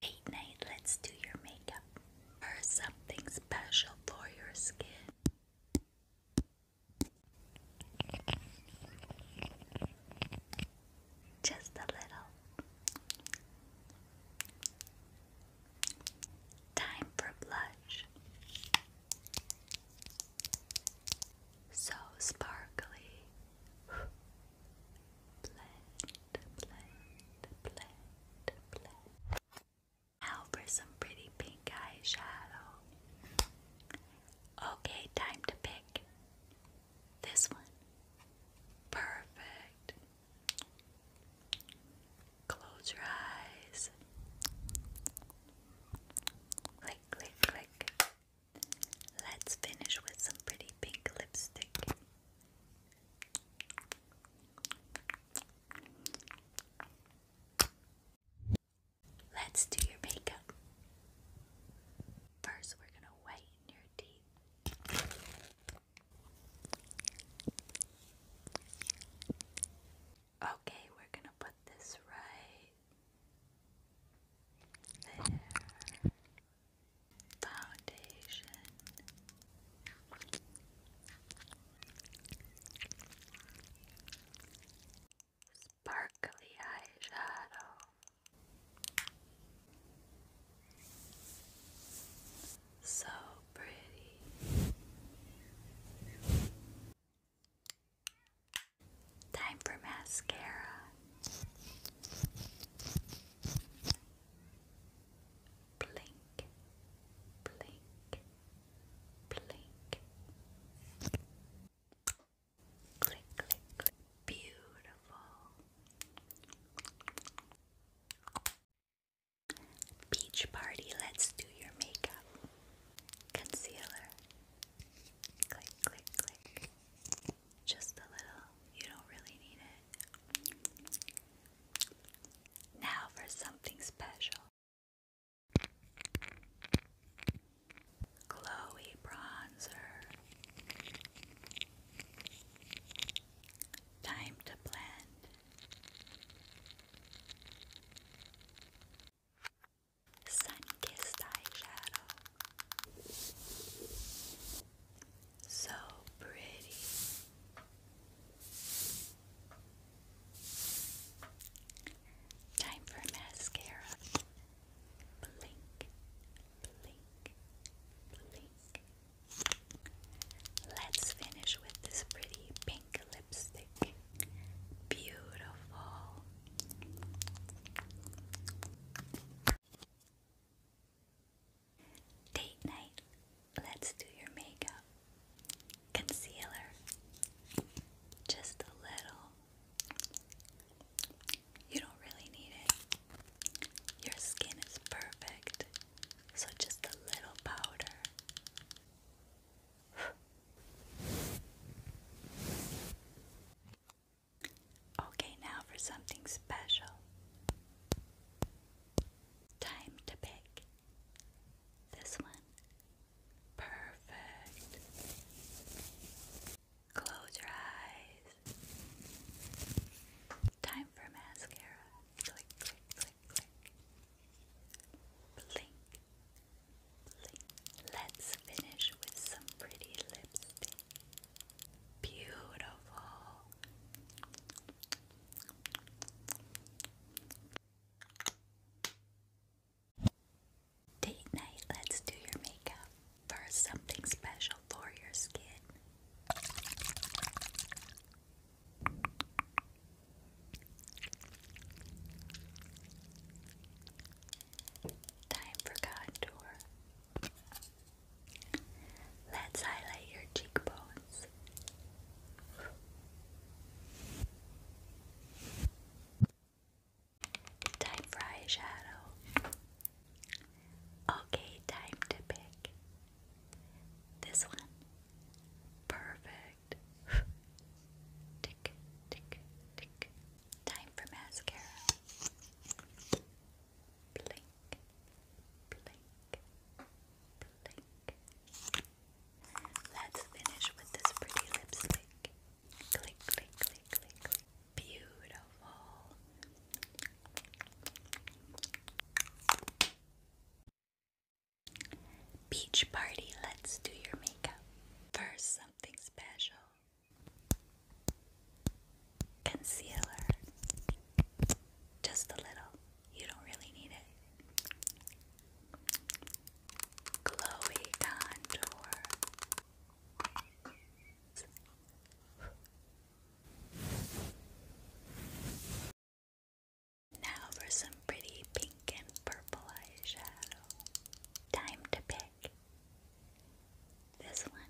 Hey Nate, let's do your makeup or something special for your skin. Just a little. Time for blush. So sparkly now for some pretty pink eyeshadow. Okay, time to pick this one. Perfect. Close your eyes. Click, click, click. Let's finish with some pretty pink lipstick. Let's do your makeup. First, we're going to whiten your teeth. Okay, we're going to put this right there foundation. Sparkly eyeshadow. So pretty. Time for mascara blink, blink, blink. Click, click, click. Beautiful. Beach party, let's do your makeup. Concealer. Click, click, click. Just a little. You don't really need it. Now for something special. Chloe Bronzer. Time to blend. Sun Kissed Eyeshadow. So pretty. Time for mascara. Blink, blink, blink. Let's finish with this pretty pink lipstick. Beautiful. Date night. Let's do your makeup. Concealer. Just a little. You don't really need it. Your skin is perfect. So just a little powder. Okay, now for something special. Time to pick this one. Perfect. Close your eyes. Time for mascara. Click, click, click, click. Blink, blink. Let's finish with some pretty lipstick. Beautiful. Date night, let's do your makeup. First, something special for your skin. Time for contour. Let's highlight your cheekbones. Time for eyeshadow. Okay, time to pick. This one. Perfect. tick, tick, tick. Time for mascara. Let's finish with this pretty lipstick. click, click, click, click. Beautiful. Beach party, let's do your makeup. First, something special concealer. Just a little. You don't really need it. Glowy contour. Now for some pretty pink and purple eyeshadow. Time to pick this one.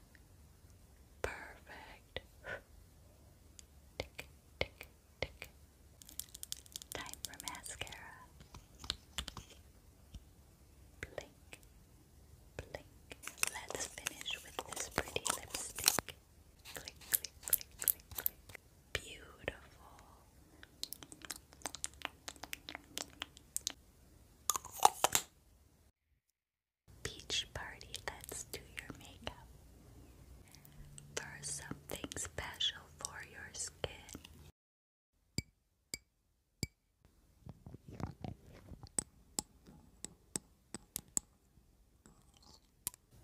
Perfect. tick, tick, tick. Time for mascara. Blink, blink. Let's finish with this pretty lipstick. Click, click, click, click, click. Beautiful. Beach party, let's do your makeup. For something special for your skin.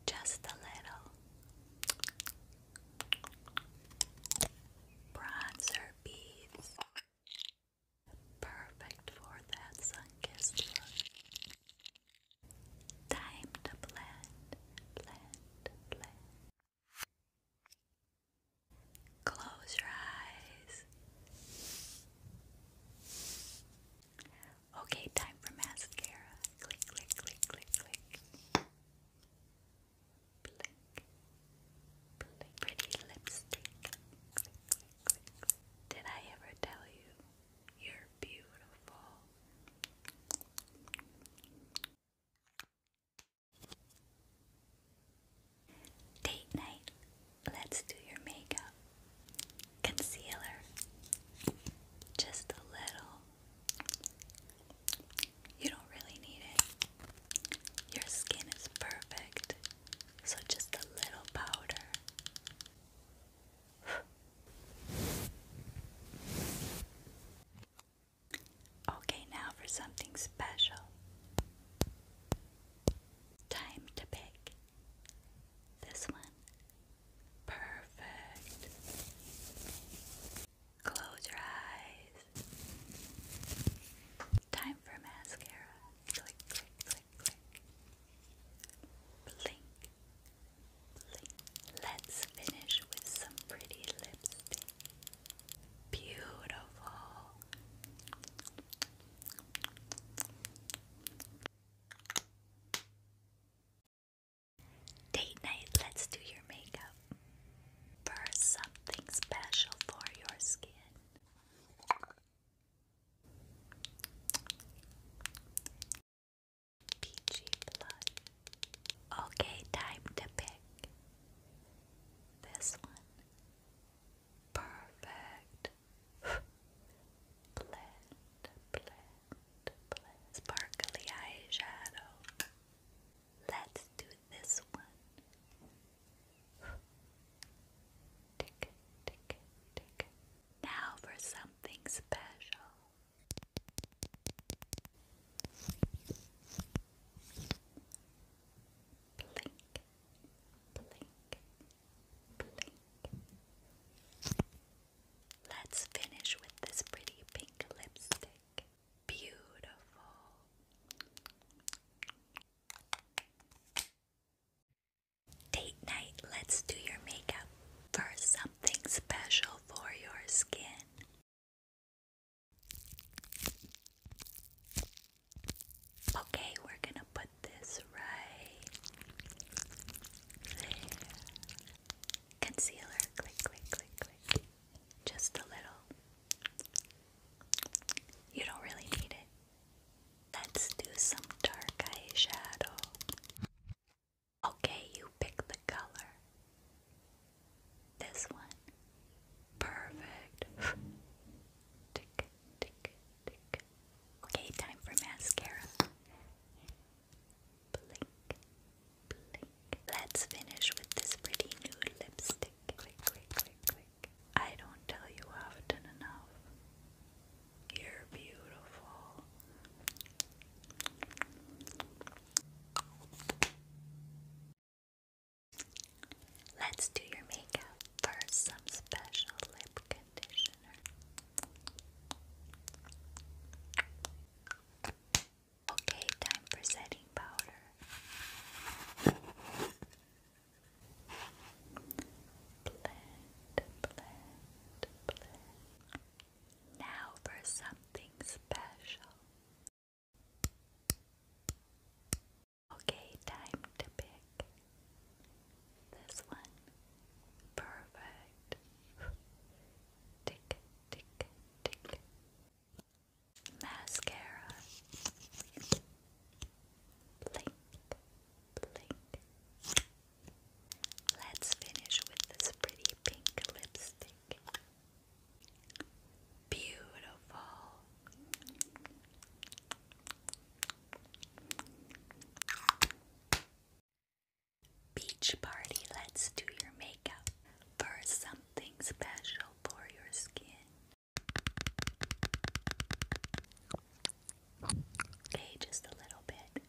Just a little bronzer beads. Perfect for that sun-kissed look. Time to blend, blend, blend. Close your eyes. Okay, time for mascara. Click, click, click, click, click. Pretty lipstick. Did I ever tell you you're beautiful? Date night. Let's do your makeup. Concealer. Just a little. You don't really need it. Your skin is perfect. So just a little powder. okay, now for something special. Time to pick this one. Perfect. Close your eyes. Time for mascara. Let's finish with some pretty lipstick. Beautiful. Date night, let's do your makeup. First, something special for your skin. Peachy blood. Okay, time to pick this one. Perfect. blend, blend, blend. Sparkly eyeshadow. Let's do this one. Tick, tick, tick. Now for something special. Blink, blink, blink. Let's finish with this pretty pink lipstick. Beautiful. Date night, let's do your makeup for something special for your skin. Okay, we're gonna put this right there. Concealer, click, click, click, click. Just a little. You don't really need it. Let's do some dark eyeshadow. Okay, you pick the color. This one. Perfect. Okay, time for mascara. Blink, blink. Let's finish with this pretty nude lipstick. I don't tell you often enough. You're beautiful. Let's do your makeup. First, some special lip conditioner. Okay, time for setting powder. Blend, blend, blend. Now for something special. Okay, time to pick this one. Perfect. Tick, tick, tick. Mascara. Blink, Let's finish with this pretty pink lipstick. Beautiful. Beach party, let's do your makeup. First, something special for your skin. Okay, just a little bit.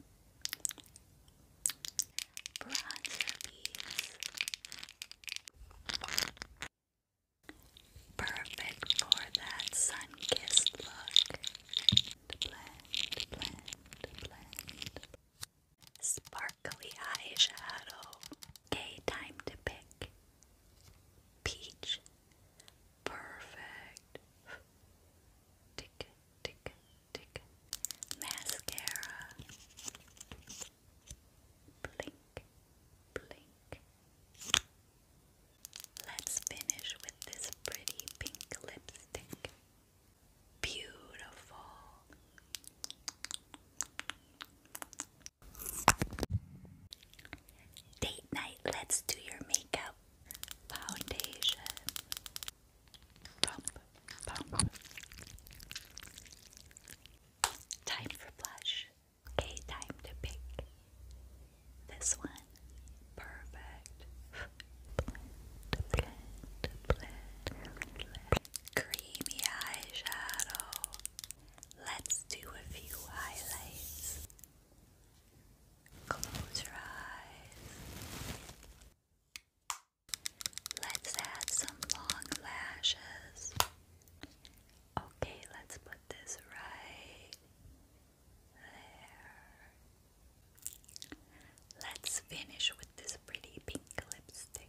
Perfect for that sun-kissed look. Sparkly eyeshadow. Okay, time to pick. Peach, Perfect. Tick, tick, tick. Mascara. Blink, blink. Let's finish with this pretty pink lipstick. Beautiful. Date night, let's do your makeup. Foundation. Pump, pump. Time for blush. Okay, time to pick this one. Perfect. Blend, blend, blend, blend. Creamy eyeshadow. Let's do a few highlights. Close your eyes. Let's add some long lashes. Okay, let's put this right there. Let's finish with this pretty pink lipstick.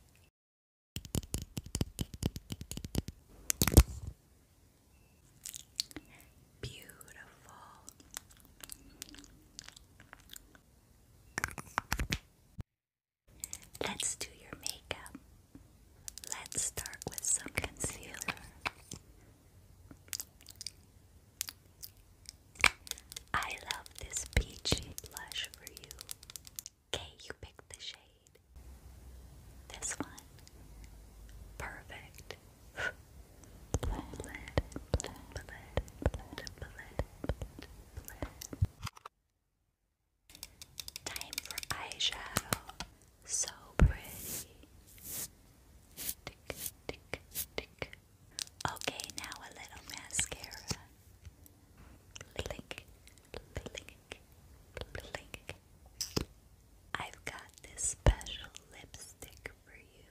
Beautiful. Let's do your makeup. Let's start with some concealer. I love this peachy blush for you. Okay, you picked the shade. This one. Perfect. Time for eyeshadow. So pretty. Okay, now a little mascara. Blink, blink, blink. I've got this special lipstick for you.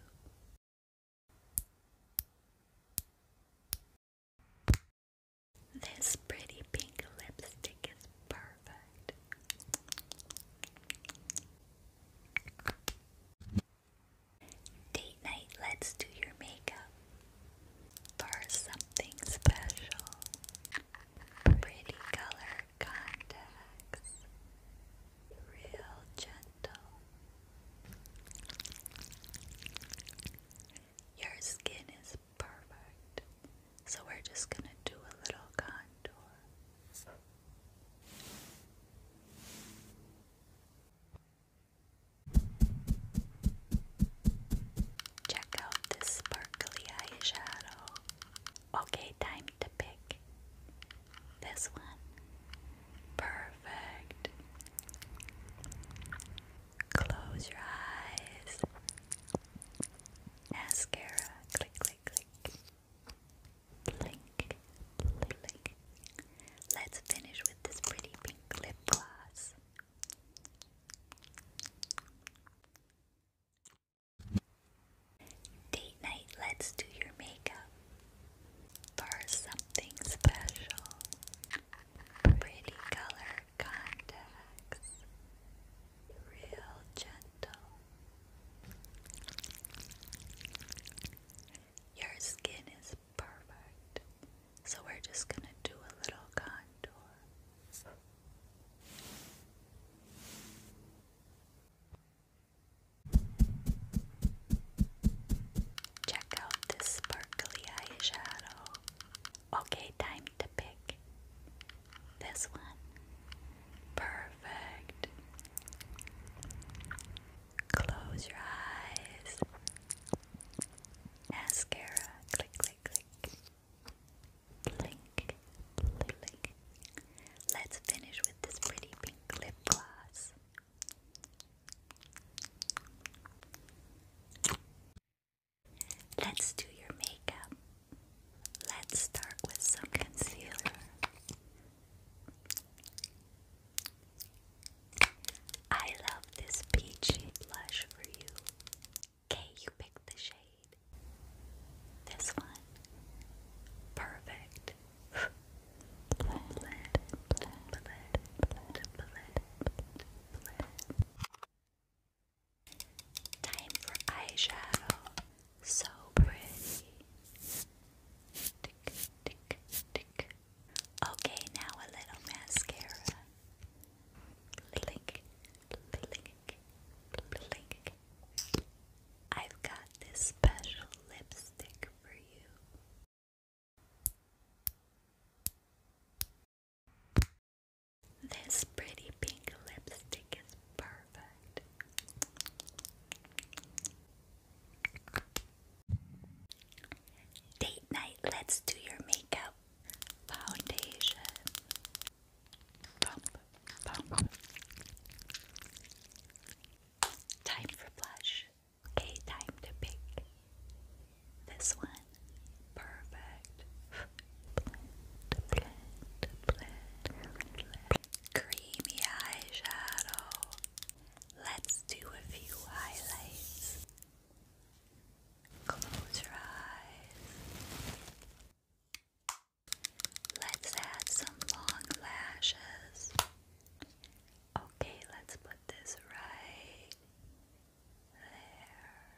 This pretty pink lipstick is perfect. Date night, let's do your makeup for something special. Pretty color contacts. Real gentle. Your skin is perfect. So we're just going to do a little contour. Check out this sparkly eyeshadow. Okay, time to pick this one. Perfect. Close your eyes. Mascara. Click, click, click. Blink, blink. Let's finish with this pretty pink lip gloss. Date night, let's do your makeup for something special. Pretty color contacts, real gentle. Your skin is perfect, so we're just gonna do a little contour. Check out this sparkly eyeshadow. Okay, time to pick this one. Perfect. Close your eyes. Mascara. Click, click, click. Blink, blink. Let's finish with this pretty pink lip gloss. Let's do your makeup. Let's start with some concealer. I love this peachy blush for you. Okay, you picked the shade. This one. Perfect. Blend, blend, blend, blend, Time for eyeshadow. So pretty. Tick, tick, tick. Okay, now a little mascara. Blink, blink, blink. I've got this special lipstick for you. This pretty pink lipstick is perfect. Date night, let's do your makeup. Foundation. Bump, bump. Time for blush. Okay, time to pick this one. Perfect. Blend, blend, blend, blend. Creamy eyeshadow. Let's do a few highlights. Close your eyes. Let's add some long lashes. Okay, let's put this right there.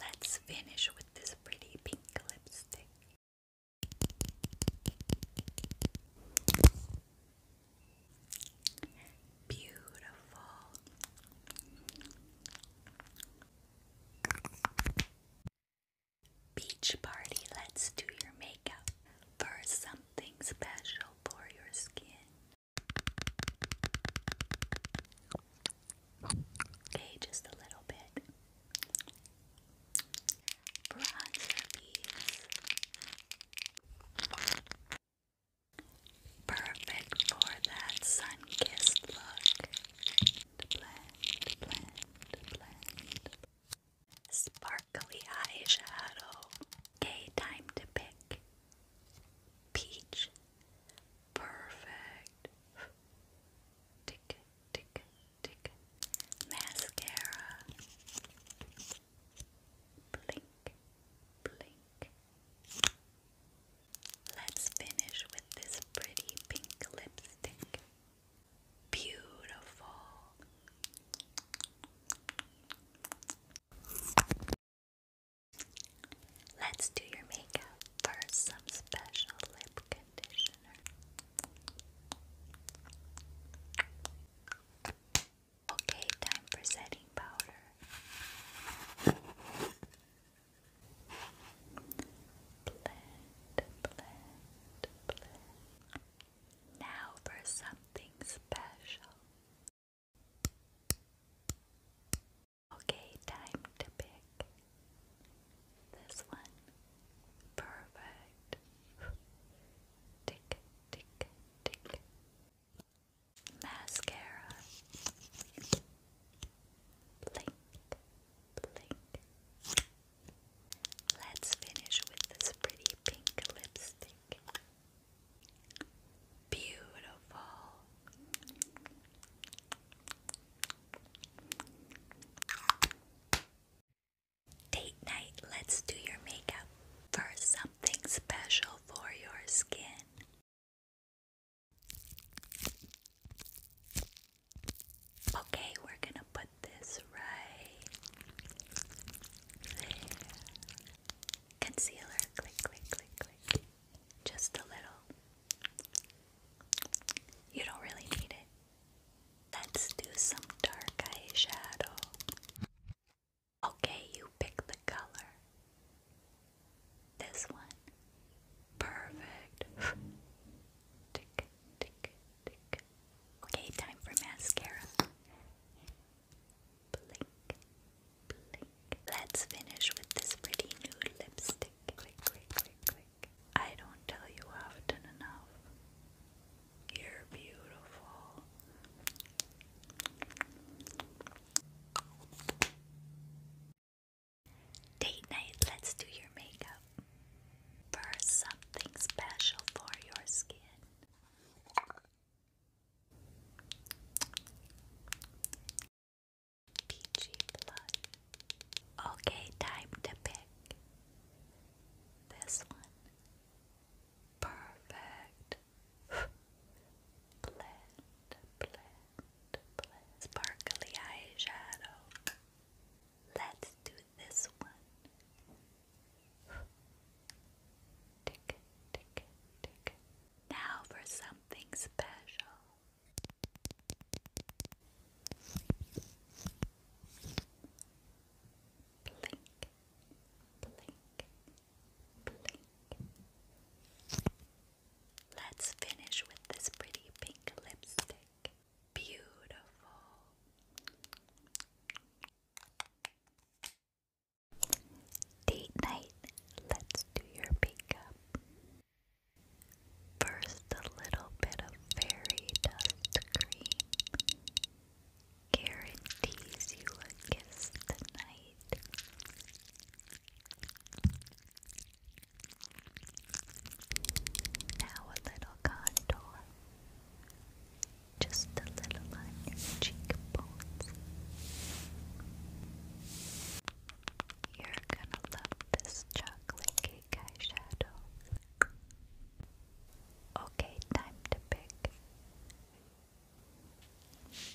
Let's finish with this pretty pink lipstick. Beautiful. Beach party, let's do your makeup for something special for your skin. Okay, just a little bit. Bronzer beads. Perfect for that sun kissed look blend, blend, blend. Sparkly eyeshadow. Okay, time to pick. Peach. Perfect. Tick, tick, tick. Mascara. Blink, blink. Let's finish with this pretty pink lipstick. Beautiful. Let's do your makeup first. Some special lip conditioner. Okay, time for setting powder. Blend, blend, blend. Now for something special. Okay, time to pick this one. Perfect. Tick, tick, tick. Mascara. Blink, Let's finish with this pretty pink lipstick. Beautiful. Date night, let's do your makeup for something special for your skin. Okay, we're gonna put this right there. Concealer, click, click, click, click. Just a little. You don't really need it. Let's do some dark eyeshadow. Okay, you pick the color. This one. Perfect. tick, tick, tick. Okay, time for mascara. Blink, blink. Let's finish with this pretty nude lipstick. I don't tell you often enough. You're beautiful. Date night, let's do your makeup. First, something special for your skin. Peachy blood. Okay, time to pick this one. Perfect. blend, blend, sparkly eyeshadow. Let's do this one. Tick, tick, tick. Now for something special. Blink, blink, blink. Let's finish with this pretty pink lipstick. Beautiful. Date night. Let's do your makeup. First, a little bit of fairy dust cream guarantees you a kiss tonight. Now a little contour, just a little on your cheekbones. You're gonna love this chocolate eyeshadow. Okay, time to pick.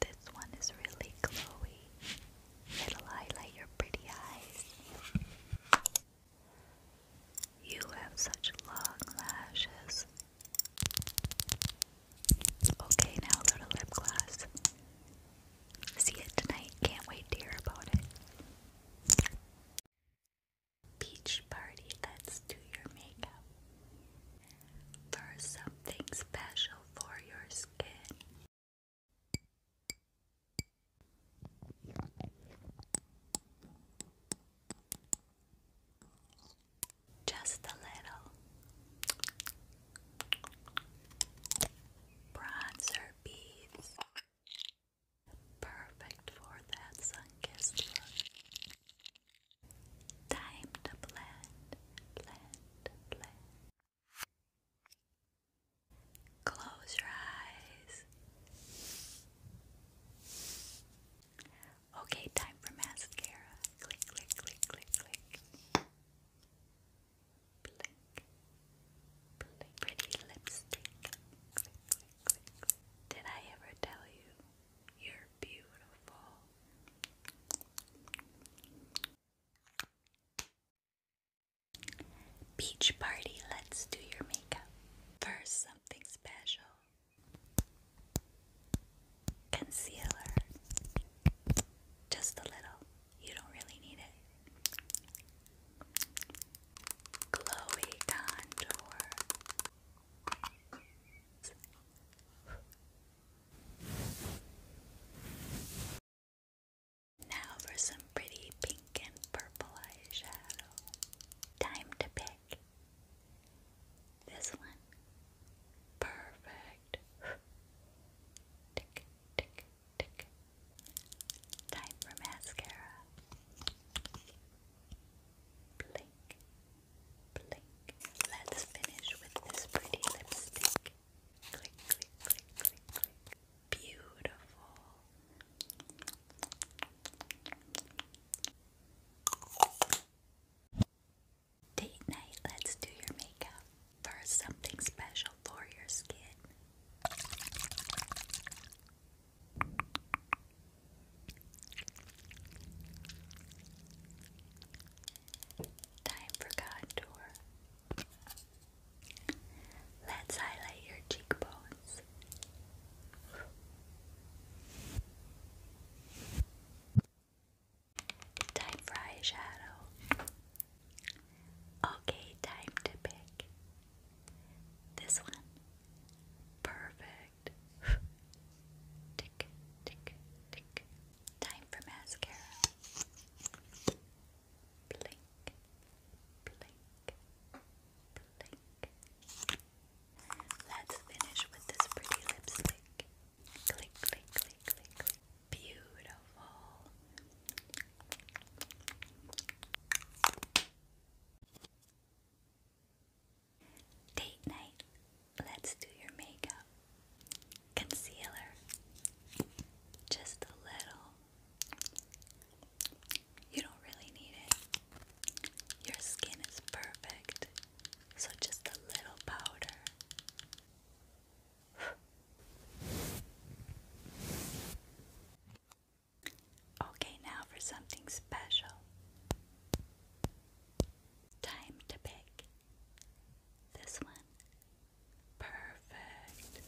This one is really glowy. It'll highlight your pretty eyes. You have such long lashes. Okay, now go to lip gloss. See it tonight. Can't wait to hear about it. Beach party, let's do your makeup. For something special for your skin, just a little bronzer beads, perfect for that sun-kissed look. Time to blend, blend, blend. Close your eyes. Okay, time for mascara. Click, click, click, click, click. Blink. Blink. Pretty lipstick. Did I ever tell you you're beautiful? Beach party, let's do your makeup. First, something special concealer. Just a little, you don't really need it. Glowy contour. Now for some pretty pink and purple eyeshadow. Time to pick. This one. Perfect. tick, tick, tick. Time for mascara. Blink, blink. Let's finish with this pretty lipstick. Click, click, click, click, click beautiful. Date night, let's do your makeup. First, something special for your skin. Time for contour. Let's highlight your cheekbones. Time for eyeshadow. Okay, time to pick. This one. Perfect. tick, tick, tick. Time for mascara blink, blink, blink. Let's finish with this pretty lipstick. Click, click, click, click, click. Beautiful. Date night. Let's do your makeup. Concealer. Just a little you don't really need it. Your skin is perfect, so just a little powder. okay, now for something special. Time to pick. This one Perfect.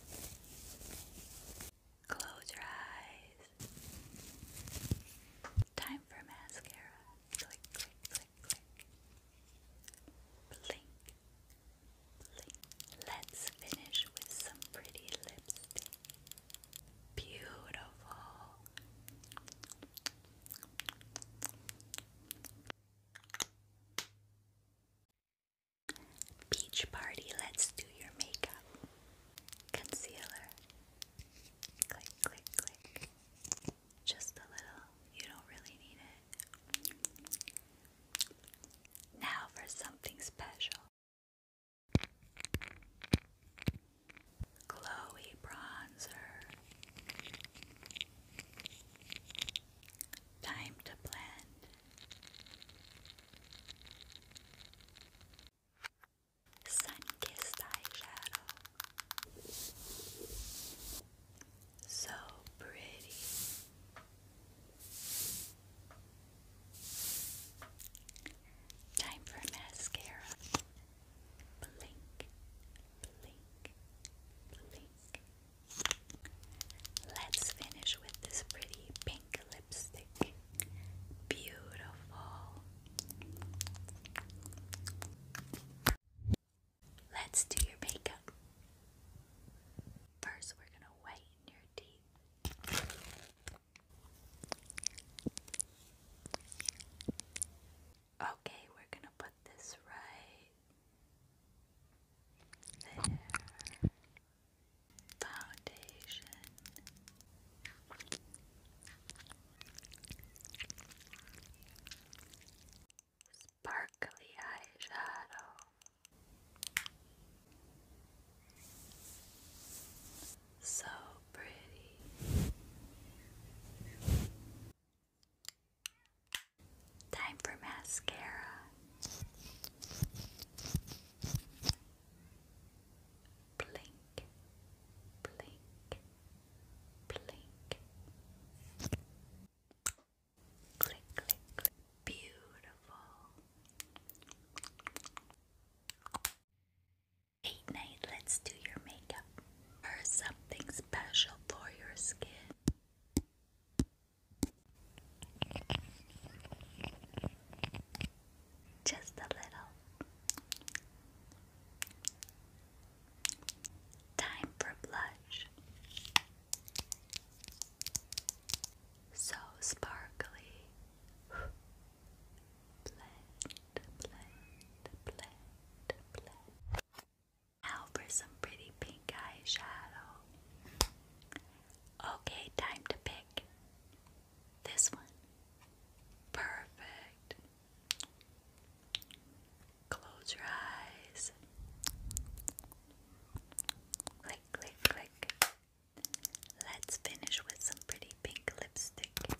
Close your eyes. Time for mascara. Click, click, click, click. Blink, Let's finish with some pretty lipstick. Beautiful. Beach Party, let's do your makeup. Concealer. Click, click, click. Just a little. You don't really need it. Now for something special. Glowy bronzer. Time to blend. Sun-kissed eyeshadow. So pretty. Time for mascara. Blink, blink, blink, Let's finish with this pretty pink lipstick. Beautiful. Let's do your makeup. First, we're going to whiten your teeth. Okay, we're going to put this right there. Foundation. Sparkly eyeshadow. So pretty. Time for mascara. Blink, blink, blink. Click, click, click. Beautiful. Eight night, let's do your makeup or something special for your skin. Just a little. Time for blush. So sparkly. Blend, blend, blend, blend. Now for some pretty pink eyeshadow. Okay, time to pick this one. Perfect. Close your eyes. Click, click, click. Let's finish with some pretty pink lipstick.